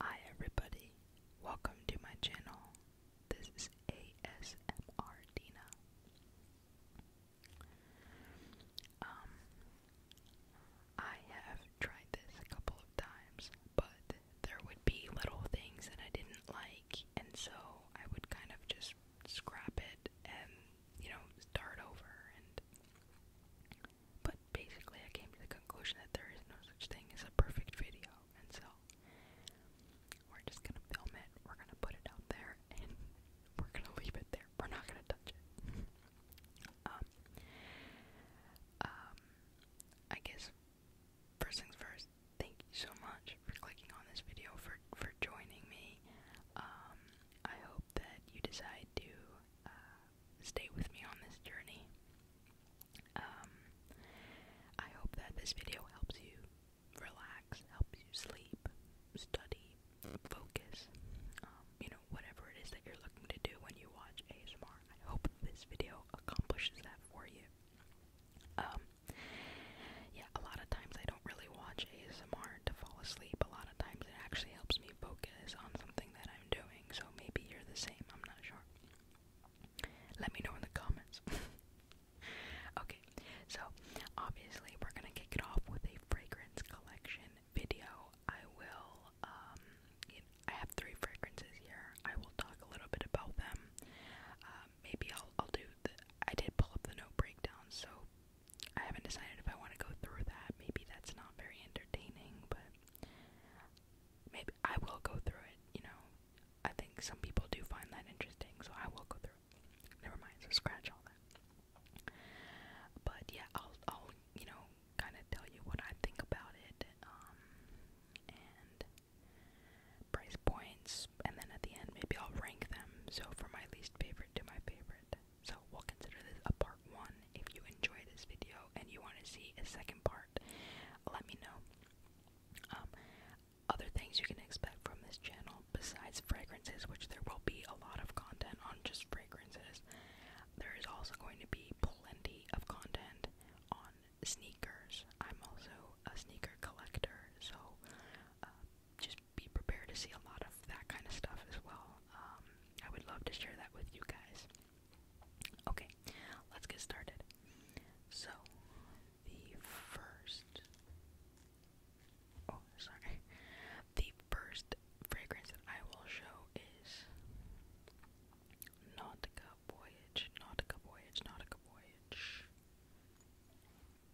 Hi everybody, welcome to my channel. This is ASMR Dina. Um, I have tried this a couple of times, but there would be little things that I didn't like, and so I would kind of just scrap it and, you know, start over and but basically, I came to the conclusion that there is no such thing as a perfect video, and so we're just gonna film it, we're gonna put it out there, and we're gonna leave it there. We're not gonna touch it. um, um, I guess first things first, thank you so much for clicking on this video, for, for joining me. Um, I hope that you decide to. Uh, stay with me on this journey. Um, I hope that this video helps you relax, helps you sleep, study, focus, um, you know, whatever it is that you're looking to do when you watch ASMR. I hope this video accomplishes that for you. Um, yeah, a lot of times I don't really watch ASMR to fall asleep. A lot of times it actually helps me focus on something that I'm doing so maybe you're the same, I'm not sure. Let me know in the comments. okay, so obviously we're gonna kick it off with a fragrance collection video. I will, um, I have three fragrances here. I will talk a little bit about them. Um, maybe I'll, I'll do I did pull up the note breakdown, so I haven't decided if I want to go through that. Maybe that's not very entertaining, but Maybe I will go through it, you know. I think some people do find that interesting, so I will go through it. Never mind, so scratch all that. But yeah, I'll I'll, you know, kinda tell you what I think about it, um and price points and then at the end maybe I'll rank them so from my least favorite to my favorite. So we'll consider this a part one if you enjoy this video and you want to see a second part, let me know. Um, other things you can expect from this channel besides fragrances, which there will be a lot of content on just fragrances, there is also going to be plenty of content on sneakers. I'm also a sneaker collector, so uh, just be prepared to see a lot of that kind of stuff as well. Um, I would love to share that with you guys. Okay, let's get started. So, the first. Oh, sorry. The first fragrance that I will show is Nautica Voyage, Nautica Voyage, Nautica Voyage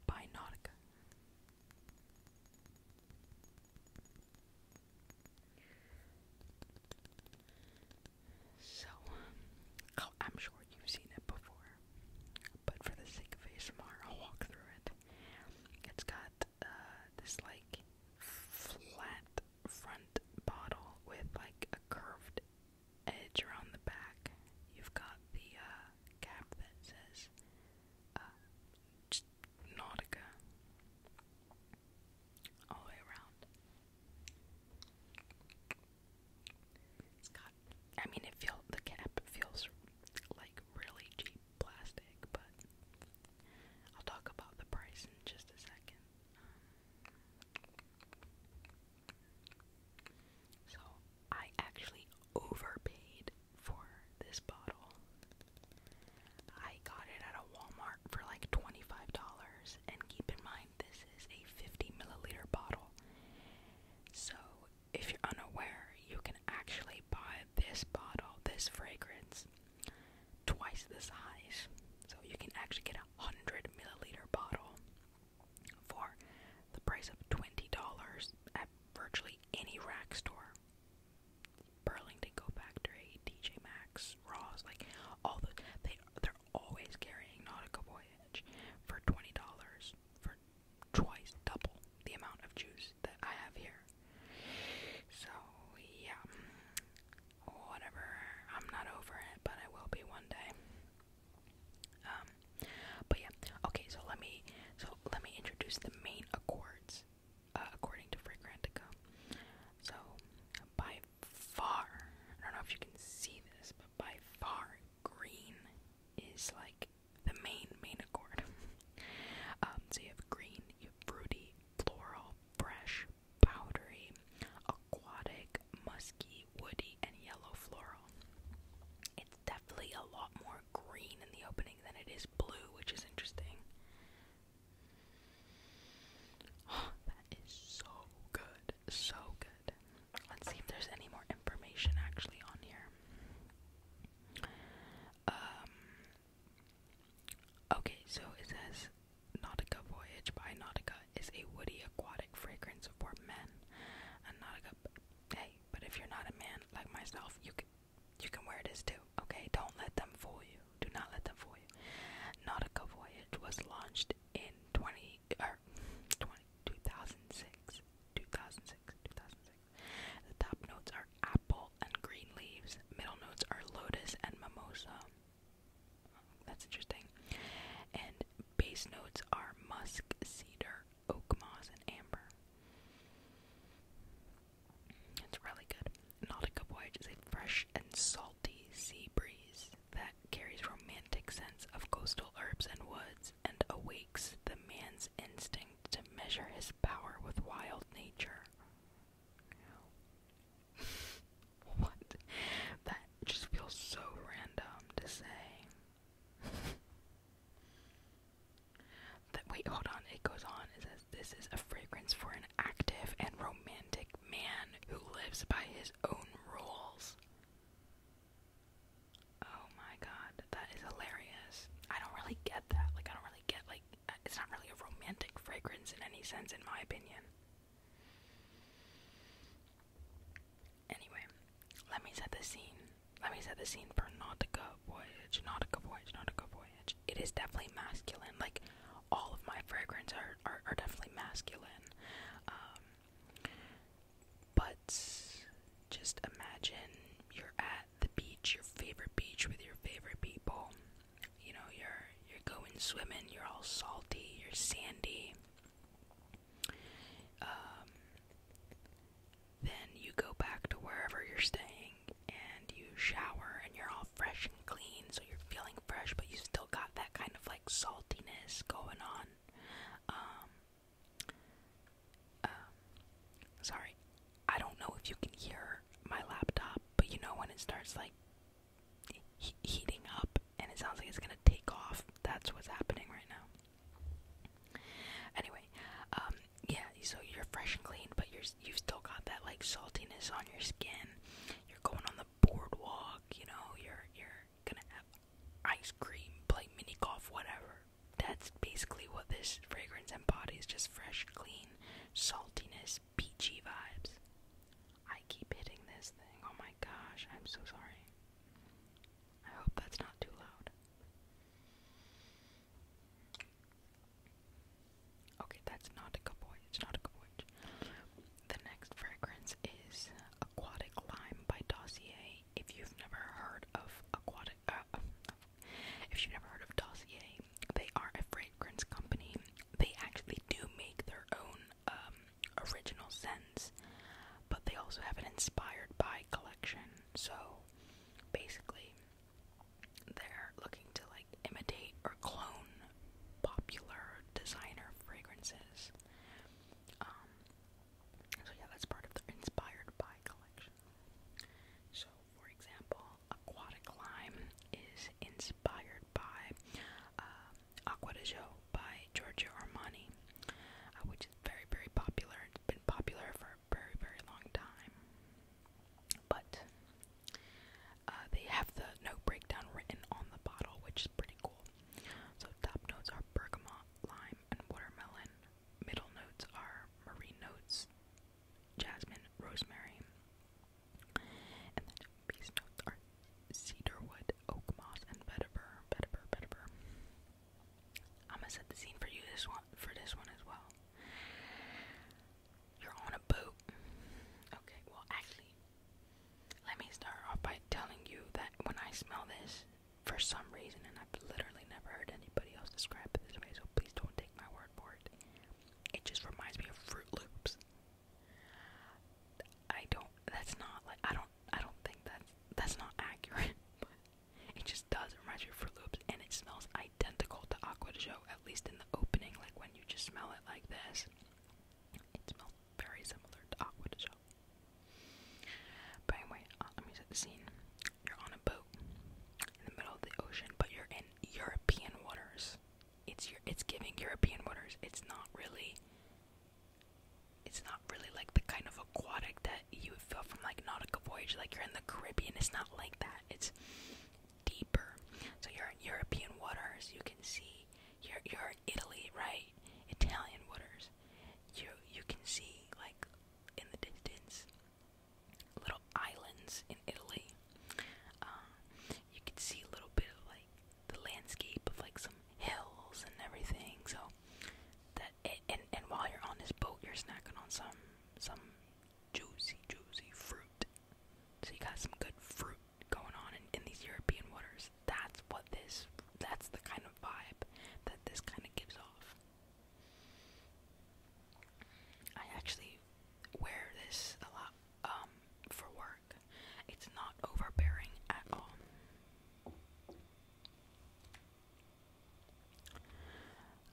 by Nautica. So, um, oh, I'm sure you've seen it before, but for the sake of ASMR, I'll walk through it. It's got uh, this like flat front bottle with like a curved edge around the back. You've got the uh, cap that says uh, Nautica all the way around. I mean, it feel the cap feels like really cheap plastic, but I'll talk about the price in just a second. Um, so I actually overpaid for this bottle. I got it at a Walmart for like $25, and keep in mind this is a 50 milliliter bottle. So, if you're unaware, you can actually buy this bottle, this fragrance, twice the size. So, you can actually get a 100 milliliter bottle for the price of $20 at virtually any rack store. Burlington Go Factory, DJ Max, Ross, like all the they they're always carrying Nautical Voyage for twenty dollars for twice double the amount of juice that I have here. So yeah, whatever. I'm not over it, but I will be one day. Um, but yeah, okay. So let me so let me introduce the main accords uh, according to Fragrantica. So, by far, I don't know if you can see this, but by far, green is like the main, main accord. Um, so you have green, fruity, floral, fresh, powdery, aquatic, musky, woody, and yellow floral. It's definitely a lot more green in the opening than it is blue, which is interesting that is so good. So good. Let's see if there's any more information actually on here. Um, okay, so it says Nautica Voyage by Nautica is a woody aquatic fragrance for men. Nautica, hey, but if you're not a man like myself, you could you can wear this too, okay? Don't let them fool you. Do not let them fool you. Nautica Voyage was launched in 20, er, 20 2006. 2006, 2006. The top notes are apple and green leaves. Middle notes are lotus and mimosa. That's interesting. And base notes are musk, cedar, oak moss, and amber. It's really good. Nautica Voyage is a fresh and salty sea breeze that carries romantic sense of coastal herbs and woods and awakes the man's instinct to measure his power with wild nature. what? That just feels so random to say. that wait, hold on, it goes on, it says this is a fragrance for an active and romantic man who lives by his own rules. Oh my god, that is hilarious. I don't really get that. Like, I don't really get, like, uh, it's not really a romantic fragrance in any sense, in my opinion. Anyway, let me set the scene. Let me set the scene for Nautica Voyage. Nautica Voyage, Nautica Voyage. It is definitely masculine. Like all of my fragrances are, are, definitely masculine. Um, but just imagine you're at the beach, your favorite beach with your favorite people. You know, you're you're going swimming, you're all salty, you're sandy. Um, then you go back to wherever you're staying and you shower and you're all fresh and clean, so you're feeling fresh, but you still got that kind of like saltiness going on. Um, um sorry, I don't know if you can hear my laptop, but you know when it starts like heating up and it sounds like it's gonna take off. That's what's happening right now. Anyway, um, yeah, so you're fresh and clean, but you're you still got that like saltiness on your skin. You're going on the boardwalk, you know, you're you're gonna have ice cream, play mini golf, whatever. That's basically what this fragrance embodies, just fresh, clean, saltiness, peachy vibes. I keep hitting this thing. Oh my gosh, I'm so sorry. I hope that's not too loud. Okay, that's not a good boy. It's not a good boy. The next fragrance is Aquatic Lime by Dossier. If you've never heard of Aquatic, uh, if you've never heard of Dossier, they are a fragrance company. They actually do make their own um, original scents, but they also have an inspired by collection. So basically, they're looking to like imitate or clone popular designer fragrances. Um, so yeah, that's part of the inspired by collection. So for example, Aquatic Lime is inspired by uh, Aqua de Jo by Giorgio Armani, uh, which is very, very popular. It's been popular for a very, very long time but uh, they have the note breakdown written on the bottle, which is pretty cool. So, top notes are bergamot, lime, and watermelon. Middle notes are marine notes, jasmine, rosemary. And then base notes are cedarwood, oak moss, and vetiver, vetiver, vetiver. I'm gonna set the scene for you this one for this one as well. You're on a boat. Okay, well, actually, let me start off by telling you that when I smell this, for some reason, and I've literally never heard anybody else describe it this way, so please don't take my word for it. It just reminds me of Fruit Loops. I don't. That's not like I don't. I don't think that's that's not accurate. it just does. It reminds me of Fruit Loops, and it smells identical to Aqua de Joe, at least in the opening, like when you just smell it like this. It smells very similar to Aqua de Joe. But anyway, uh, let me set the scene. You're on a boat in the middle of the ocean, but you're in European waters. It's your, it's giving European waters. It's not really. It's not really like the kind of aquatic that you would feel from like Nautical Voyage. Like you're in the Caribbean. It's not like that. It's deeper. So you're in European waters, you can see you're you're Italy, right? Italian waters. You you can see like in the distance little islands in Italy. Um, you can see a little bit of like the landscape of like some hills and everything. So that and and while you're on this boat, you're snacking on some some juicy, juicy fruit. So you got some good fruit going on in, these European waters. That's what this, that's the kind of vibe that this kind of gives off. I actually wear this a lot um, for work. It's not overbearing at all.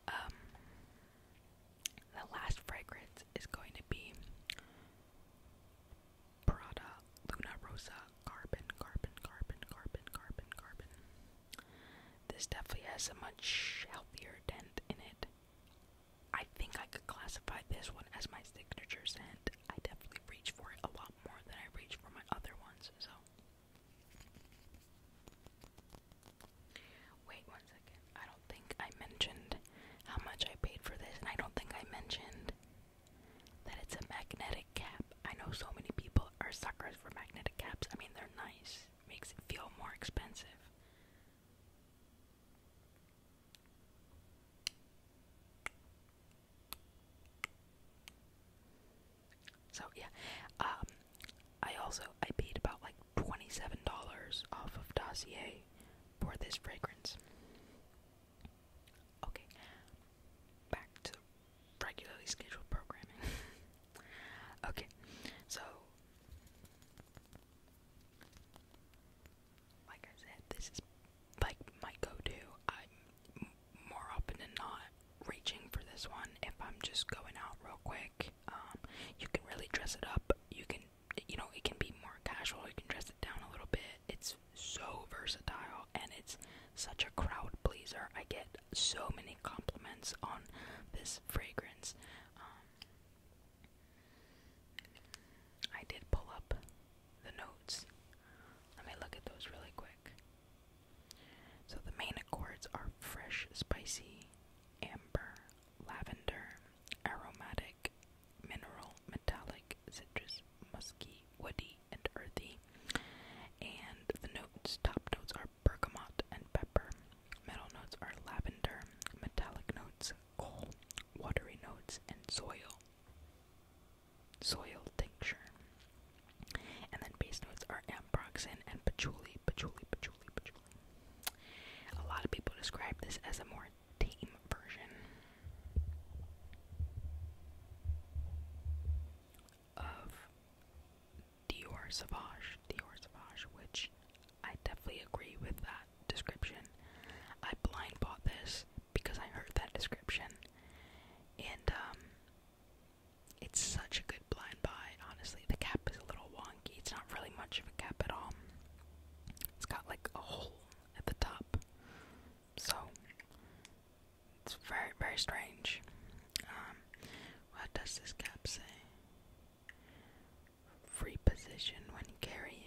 Um, the last fragrance is going to be Prada Luna Rosa Carbon, Carbon, Carbon, Carbon, Carbon, Carbon. This definitely has a much healthier dent in it. I think I could classify this one as my signature scent. I definitely reach for it a lot more than I reach for my other ones, so. Wait one second. I don't think I mentioned how much I paid for this, and I don't think I mentioned that it's a magnetic cap. I know so many people are suckers for magnetic caps. I mean, they're nice, makes it feel more expensive. So yeah, um, I also I paid about like $27 off of Dossier for this fragrance. Okay, back to regularly scheduled programming. okay, so like I said, this is like my go-to. I'm more often than not reaching for this one if I'm just going out real quick um, you can really dress it up. You can, you know, it can be more casual. You can dress it down a little bit. It's so versatile and it's such a crowd pleaser. I get so many compliments on this fragrance. Um, I did pull up the notes. Let me look at those really quick. So the main accords are fresh, spicy, amber, lavender, aromatic, mineral, metallic, citrus, musky, woody, and earthy. And the notes, top notes are bergamot and pepper. Middle notes are lavender, metallic notes, coal, watery notes, and soil. Soil tincture. And then base notes are ambroxan and patchouli, patchouli, patchouli, patchouli. A lot of people describe this as a more tame version of Dior Sauvage, Dior Sauvage, which I definitely agree with that description. I blind bought this because I heard that description, and um, it's such a good blind by, honestly. The cap is a little wonky. It's not really much of a cap at all. It's got like a hole at the top. So it's very very strange. Um, what does this cap say? Free position when carrying.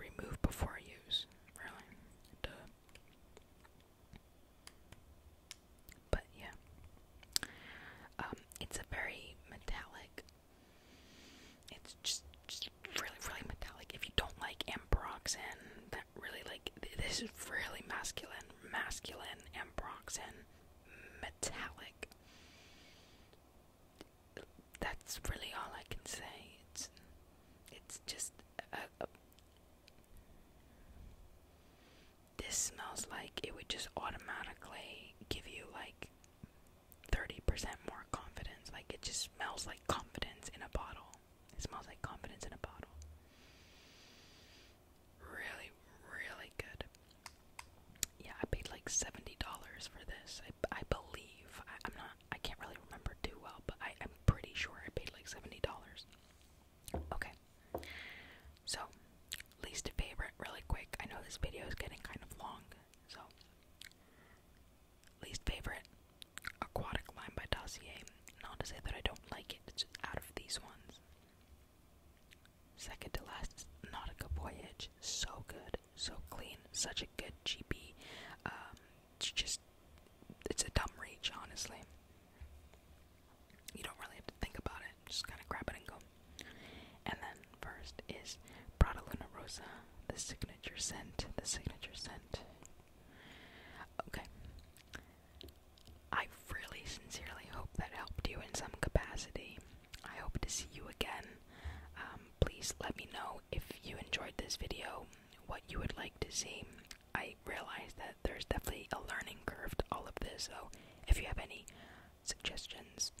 Remove before use. Really? Duh. But yeah, um, it's a very metallic. It's just, really, really metallic. If you don't like ambroxan, that really like this is really masculine, masculine ambroxan, metallic. That's really all I can say. It's, it's just this smells like it would just automatically give you like 30% more confidence. Like it just smells like confidence in a bottle. It smells like confidence in a bottle. Really, really good. Yeah, I paid like $70 for this. I, I believe. I, am not, I can't really remember too well, but I, I'm pretty sure I paid like $70. Okay. So, least favorite, really quick. I know this video is getting kind of long, so. Least favorite, Aquatic line by Dossier. Not to say that I don't like it, it's just out of these ones. Second to last is Nautica Voyage. So good, so clean, such a good GP. Um, it's just, it's a dumb reach, honestly you don't really have to think about it, just kind of grab it and go. And then first is Prada Luna Rosa, the signature scent, the signature scent. Okay. I really sincerely hope that helped you in some capacity. I hope to see you again. Um, please let me know if you enjoyed this video, what you would like to see. I realize that there's definitely a learning curve to all of this. So, if you have any suggestions,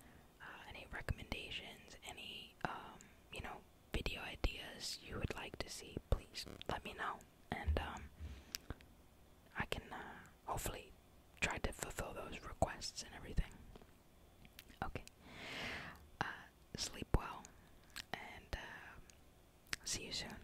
uh, any recommendations, any um, you know video ideas you would like to see, please let me know, and um, I can uh, hopefully try to fulfill those requests and everything. Okay. Uh, sleep well, and see you soon.